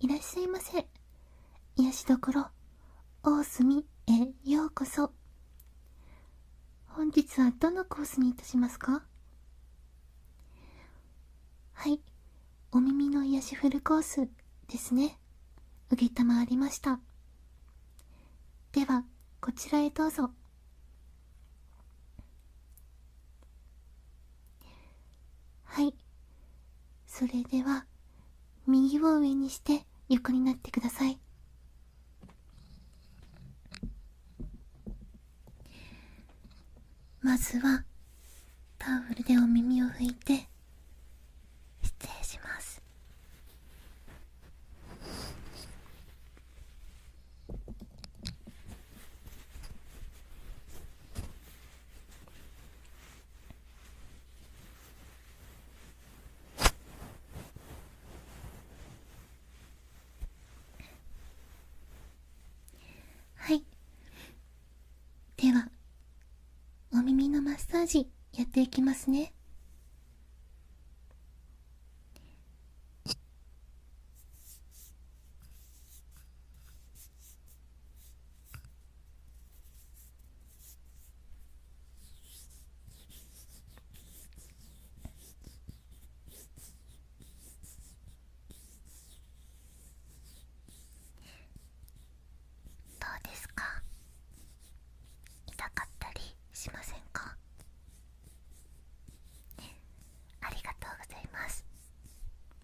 いらっしゃいませ。癒しどころ、大隅へようこそ。本日はどのコースにいたしますかはい、お耳の癒しフルコースですね。うげたまありました。では、こちらへどうぞ。はいそれでは右を上にして横になってくださいまずはタオルでお耳を拭いて失礼しますはいではお耳のマッサージやっていきますねどうですか痛かったりしませんか、ありがとうございます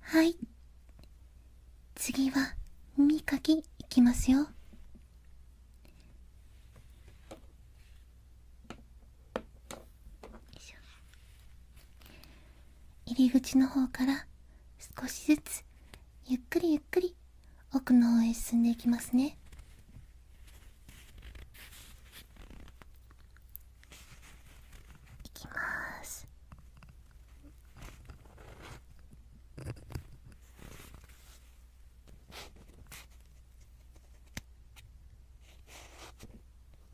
はい次は耳かきいきますよ入り口の方から少しずつゆっくりゆっくり奥の方へ進んでいきますねいきます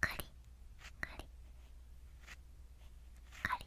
カリカリカリカリカリカリ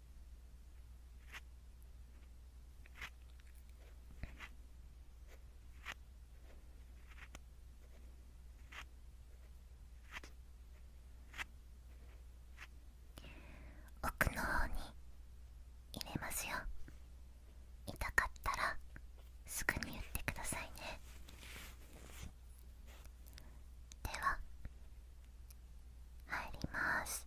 奥の方に入れますよ痛かったらすぐに言ってくださいねでは入ります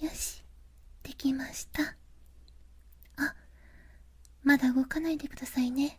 よしできましたあまだ動かないでくださいね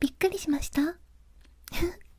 びっくりしました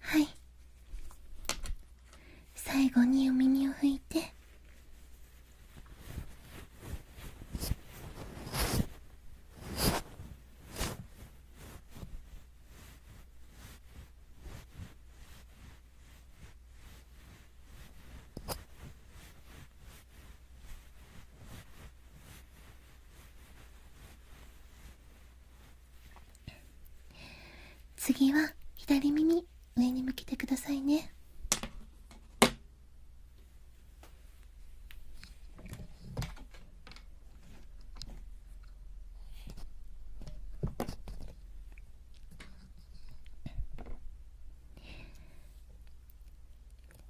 はい最後にお耳を拭いて次は左耳上に向けてくださいね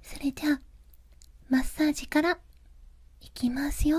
それじゃあマッサージからいきますよ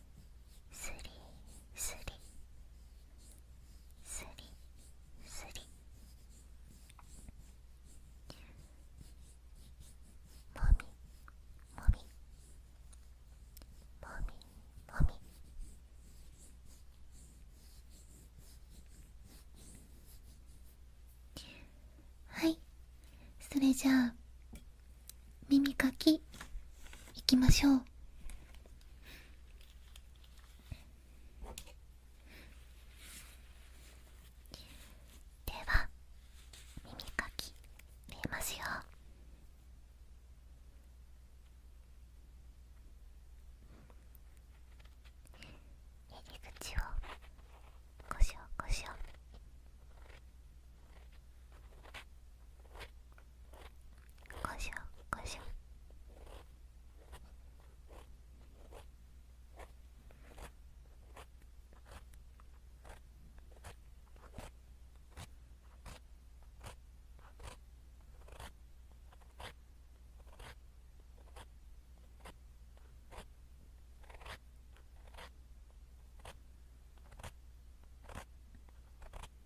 すりすり、すりすり…もみもみもみもみはいそれじゃあ耳かきいきましょうでは耳かき見えますよ入り口をこしょこしょ。こしょこしょ…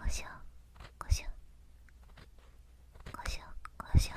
ごしょごしょごしょこしょ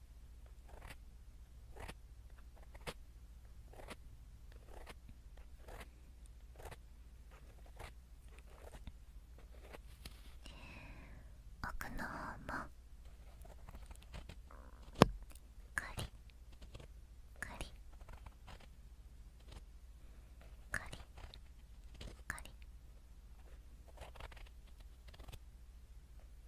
奥の方もカリカリカリカリ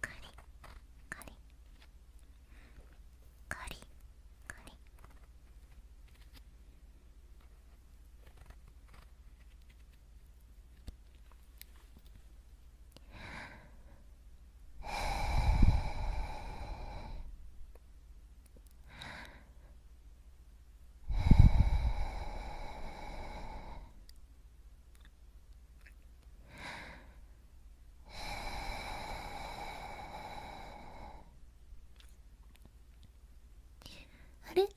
カリカリカリカリあれ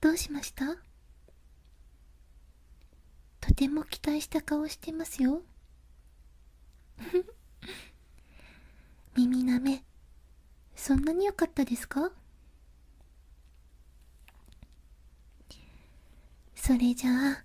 どうしましたとても期待した顔してますよ 耳なめそんなによかったですかそれじゃああ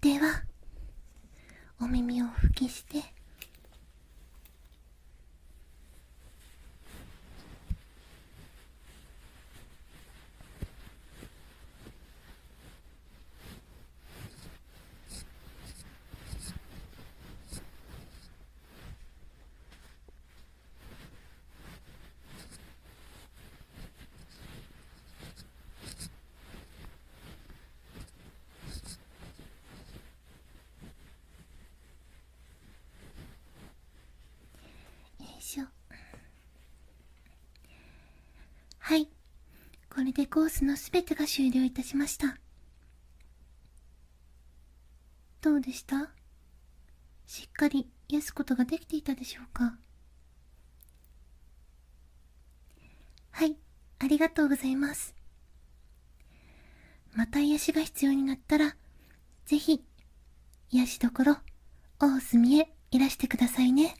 ではお耳を拭きしてよいしょはいこれでコースの全てが終了いたしましたどうでしたしっかり癒すことができていたでしょうかはいありがとうございますまた癒しが必要になったら是非癒しどころ大隅へいらしてくださいね